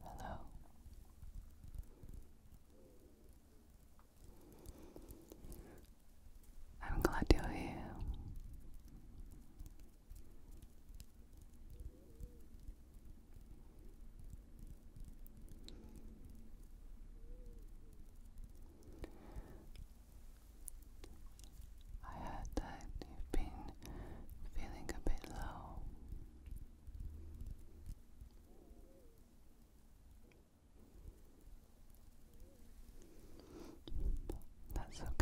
Hello. I'm glad to hear you. I heard that you've been feeling a bit low. That's okay.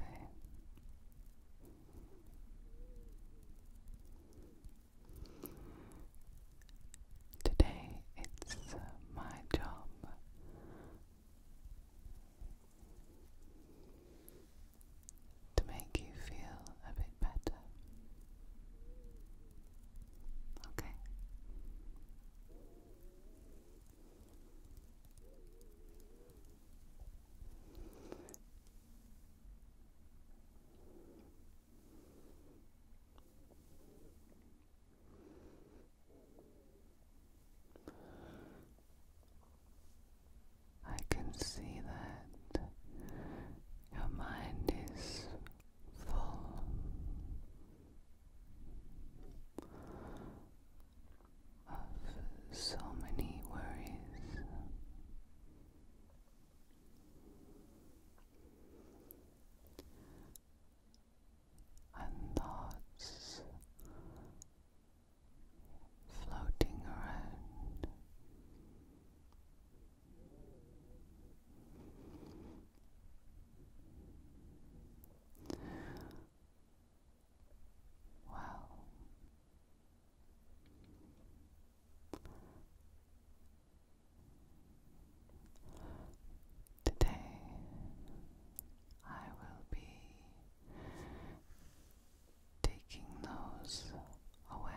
Today it's my job to make you feel a bit better. Okay. I can see that your mind is full. Of so many worries, and thoughts floating around. Well, Today I will be taking those away.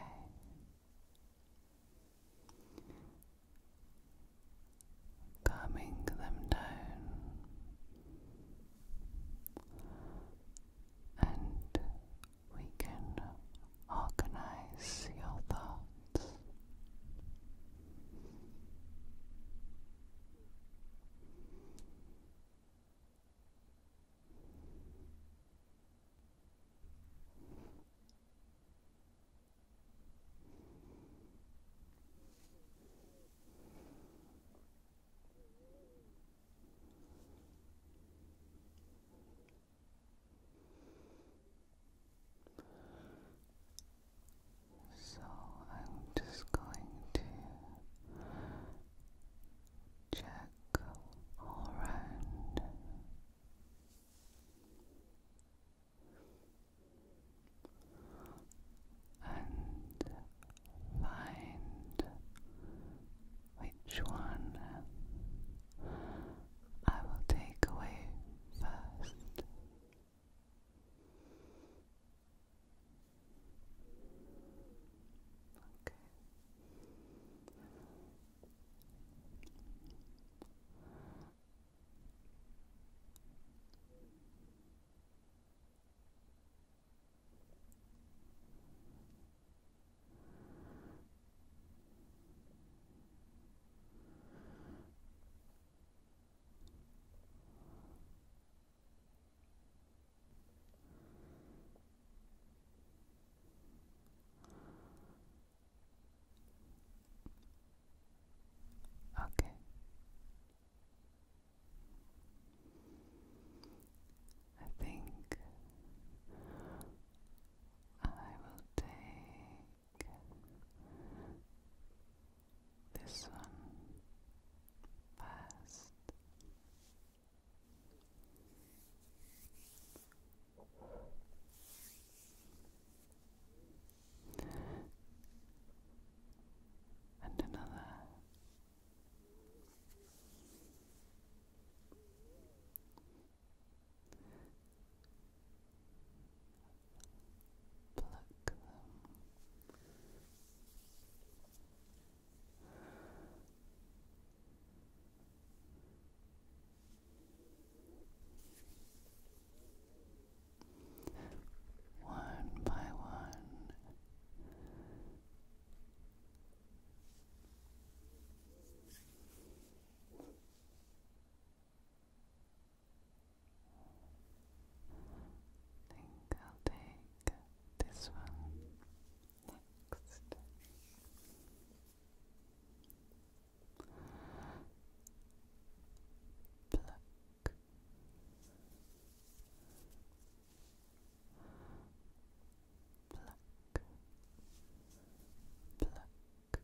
Calming them down and we can organize your thoughts. So I'm just going to check all around. And find which one uh, I will take away first. Okay. Okay. I think I will take this one first. And another. Pluck them. One by one think I'll take this one next. Pluck. Pluck. Pluck. Black. Black.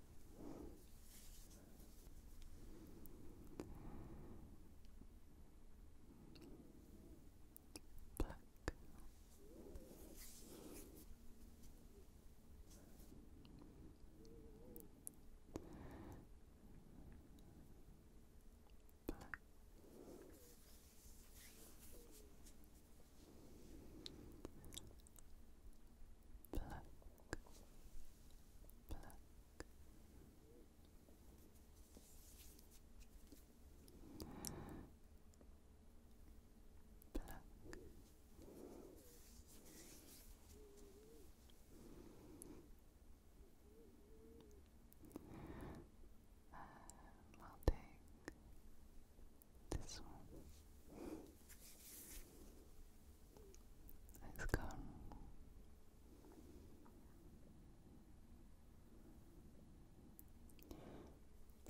Black, black. Black. And we this one is gone.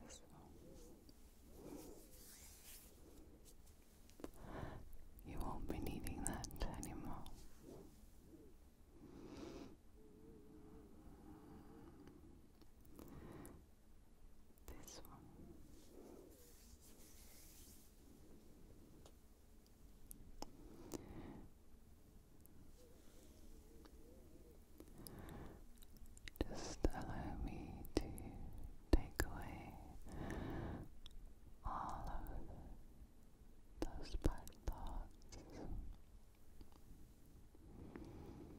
This one. You won't be needing that anymore. This one. Just allow me to take away all of those bad thoughts.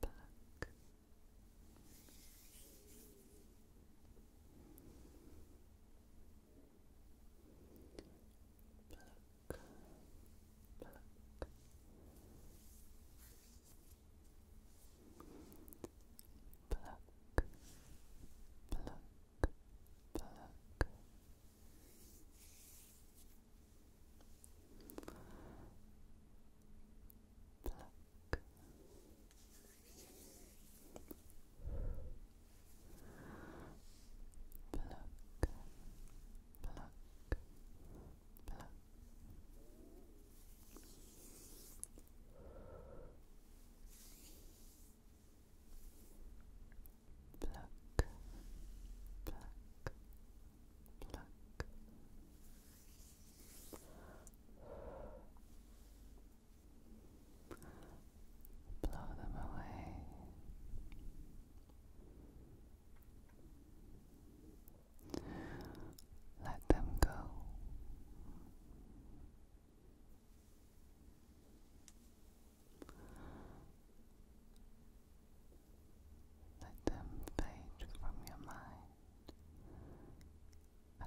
back. Pluck, pluck. Pluck, pluck, pluck. Black. Pluck. Pluck. Pluck. Pluck, pluck, Pluck. Blow them away. Let them go. Let them fade from your mind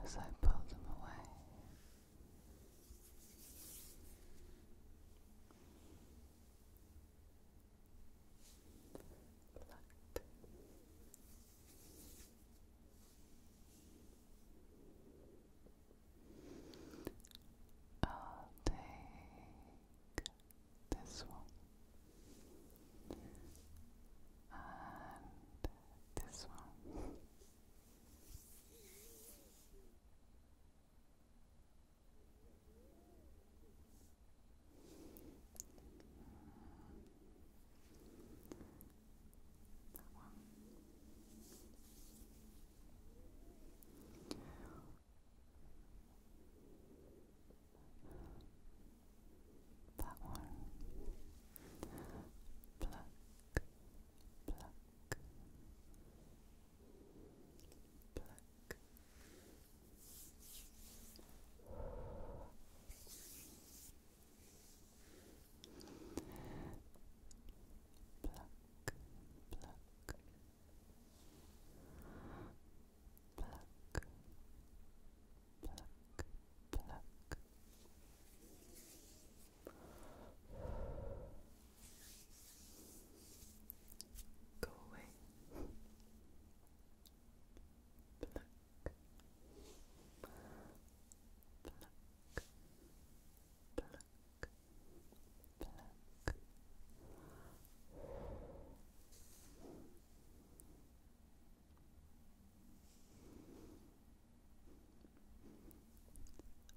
as I pull them away. Plucked. I'll take this one, and this one. That one. That one. Pluck, pluck, pluck. Pluck, pluck, Black, pluck, pluck. Go away. Pluck. Pluck. Pluck. Pluck.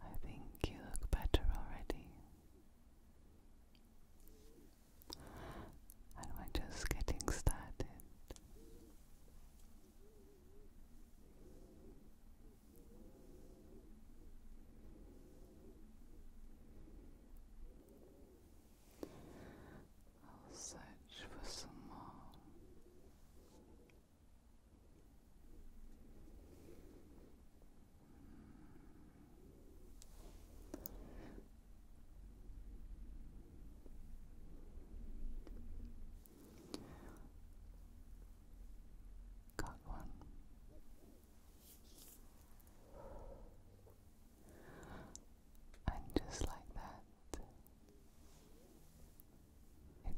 I think you look better already. And we're just getting started. I'll search for some more. Hmm. Got one. And just like that,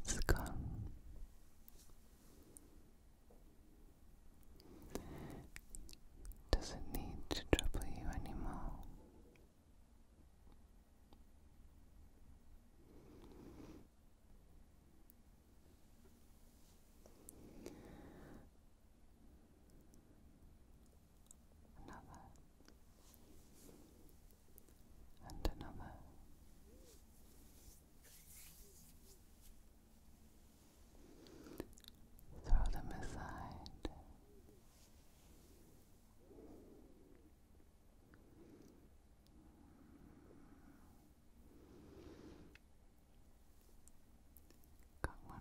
it's gone. Doesn't need to trouble you anymore another, and another. Throw them aside. Got one.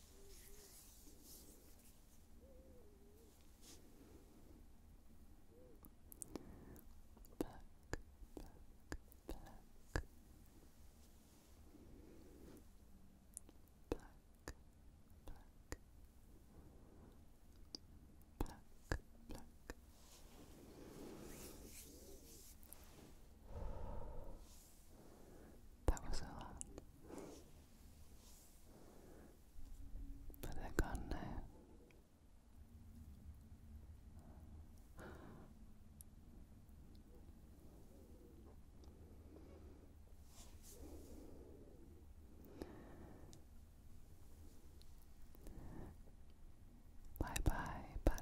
Back, back, back. Black, black, black, black. That was a lot. But they're gone now. Bye bye, bad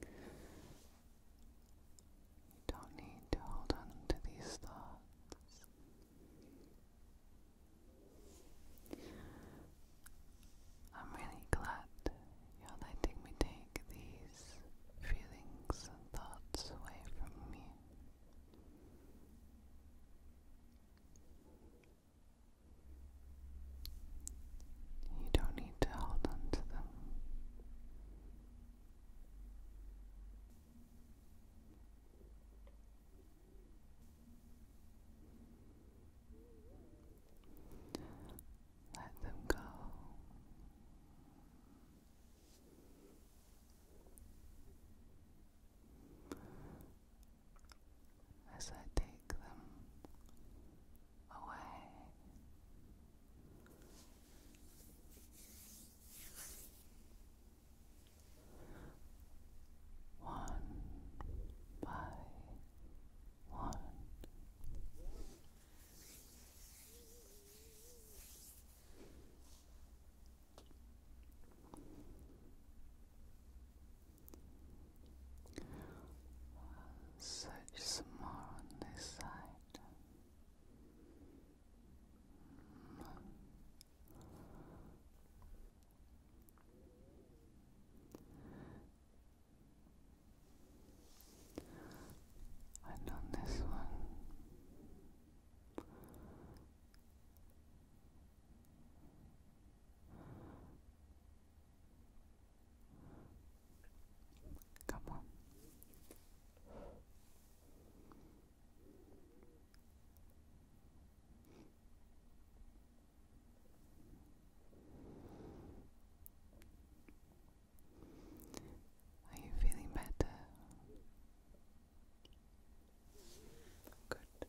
You don't need to hold on to these thoughts. I'm really glad you're letting me take these feelings and thoughts away from me. You don't need to hold on to them. Let them go as I take them away. One by one. Search some more on this side. And on this one, Come on. Are you feeling better? Good.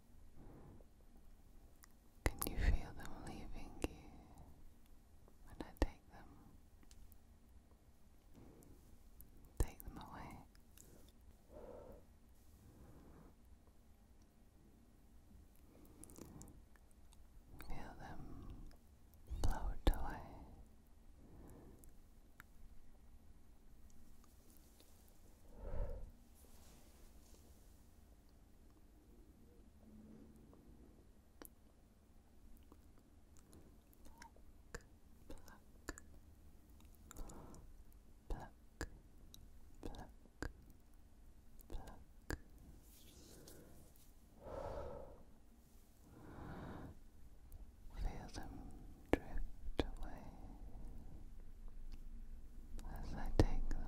can you feel them leaving you when I take them? Take them away. Feel them float away pluck, pluck, pluck. Feel them drift away as I take them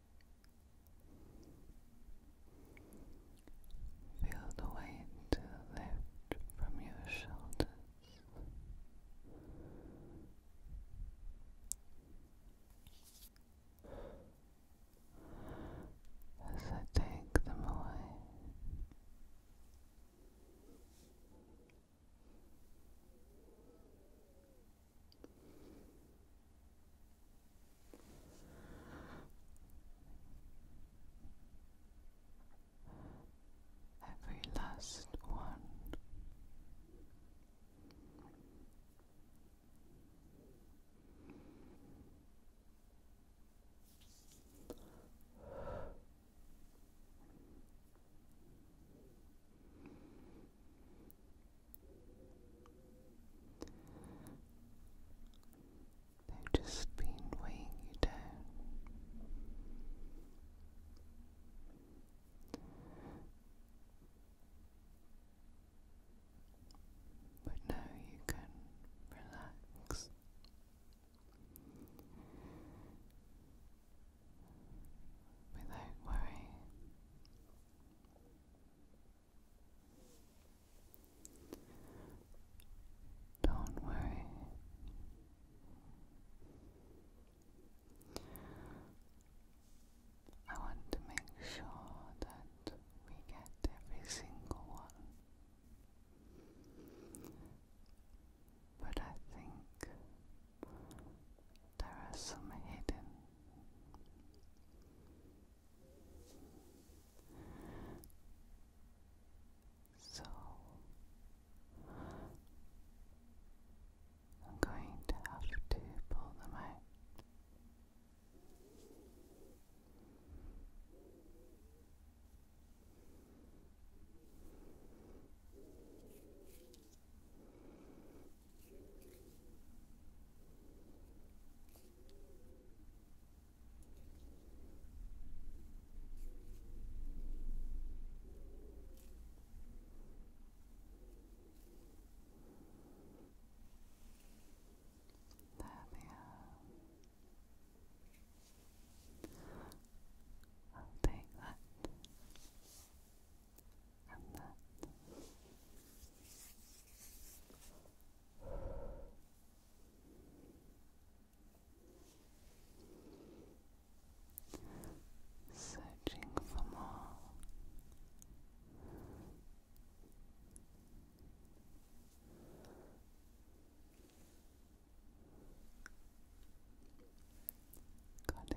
Feel the weight lift from your shoulders. As I take them away, Every last one. They've just been weighing you down. But now you can relax. Without worry, don't worry. I want to make sure that we get every single one. But I think there are some hidden so I'm going to have to pull them out. There they are. I'll that and that. Searching for more. Got it.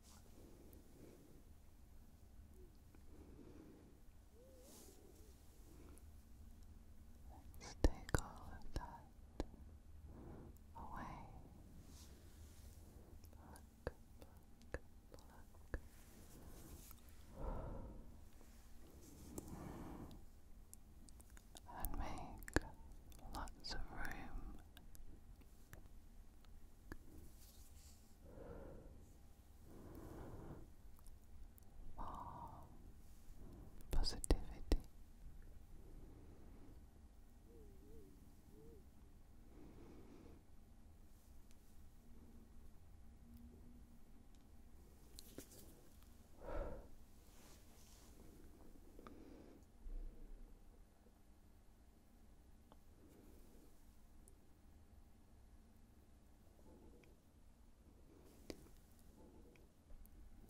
Let's take all of that away. And make lots of room. Warm positivity.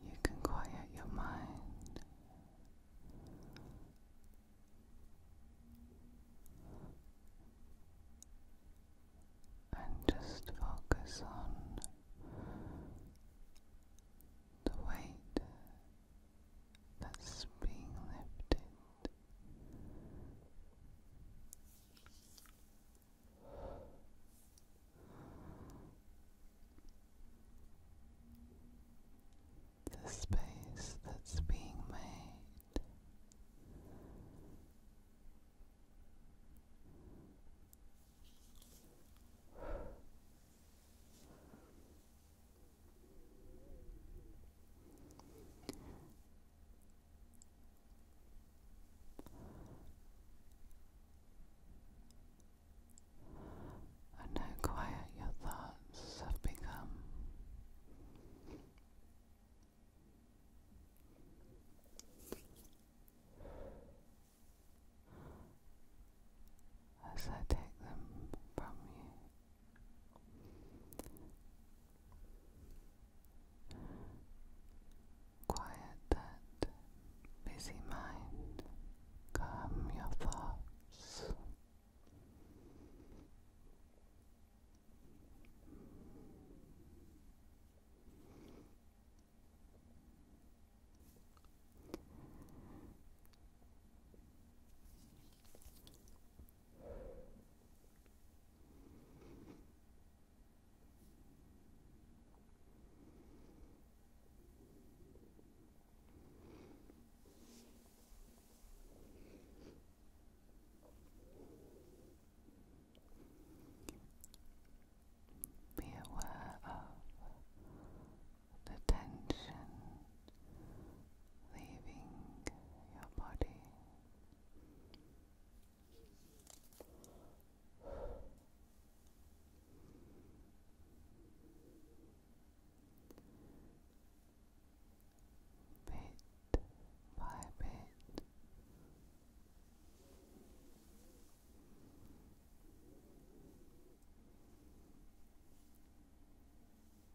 You can quiet your mind. And just focus on the weight that's being lifted the space that's being made and how quiet your thoughts have become. As I take them from you. Quiet that busy mind, calm your thoughts. Be aware of the tension leaving your body. Bit by bit.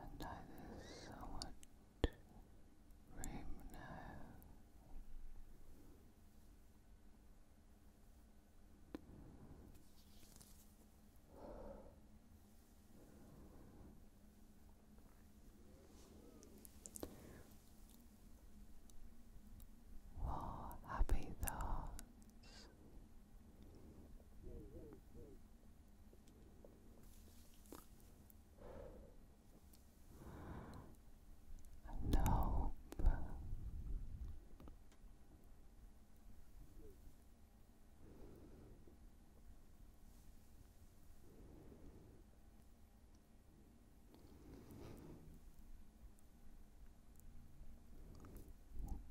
and neither somewhat dream now. For happy thoughts and hope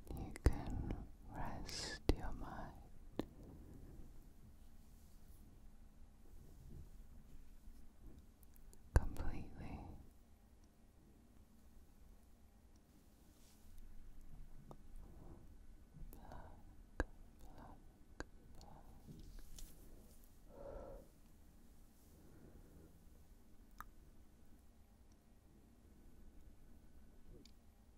you can rest your mind. Completely.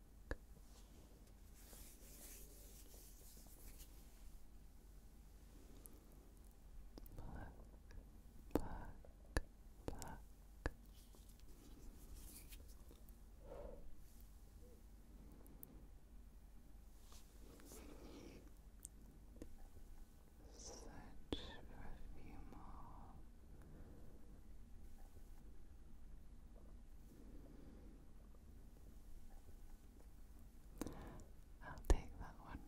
Black, black, black. Such a I'll take that one.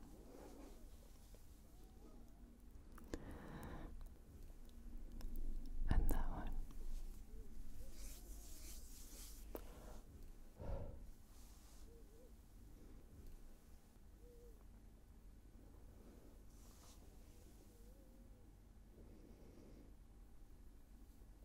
And that one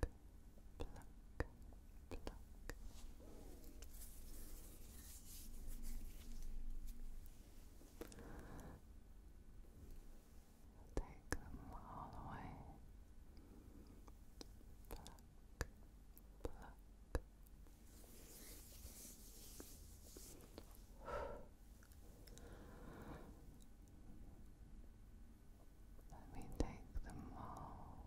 pluck, pluck. Take them all away. Pluck, pluck. Let me take them all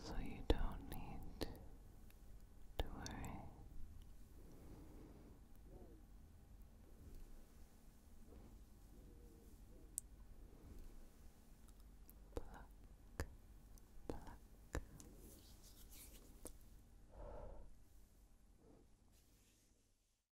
so you don't need to worry. Pluck, pluck.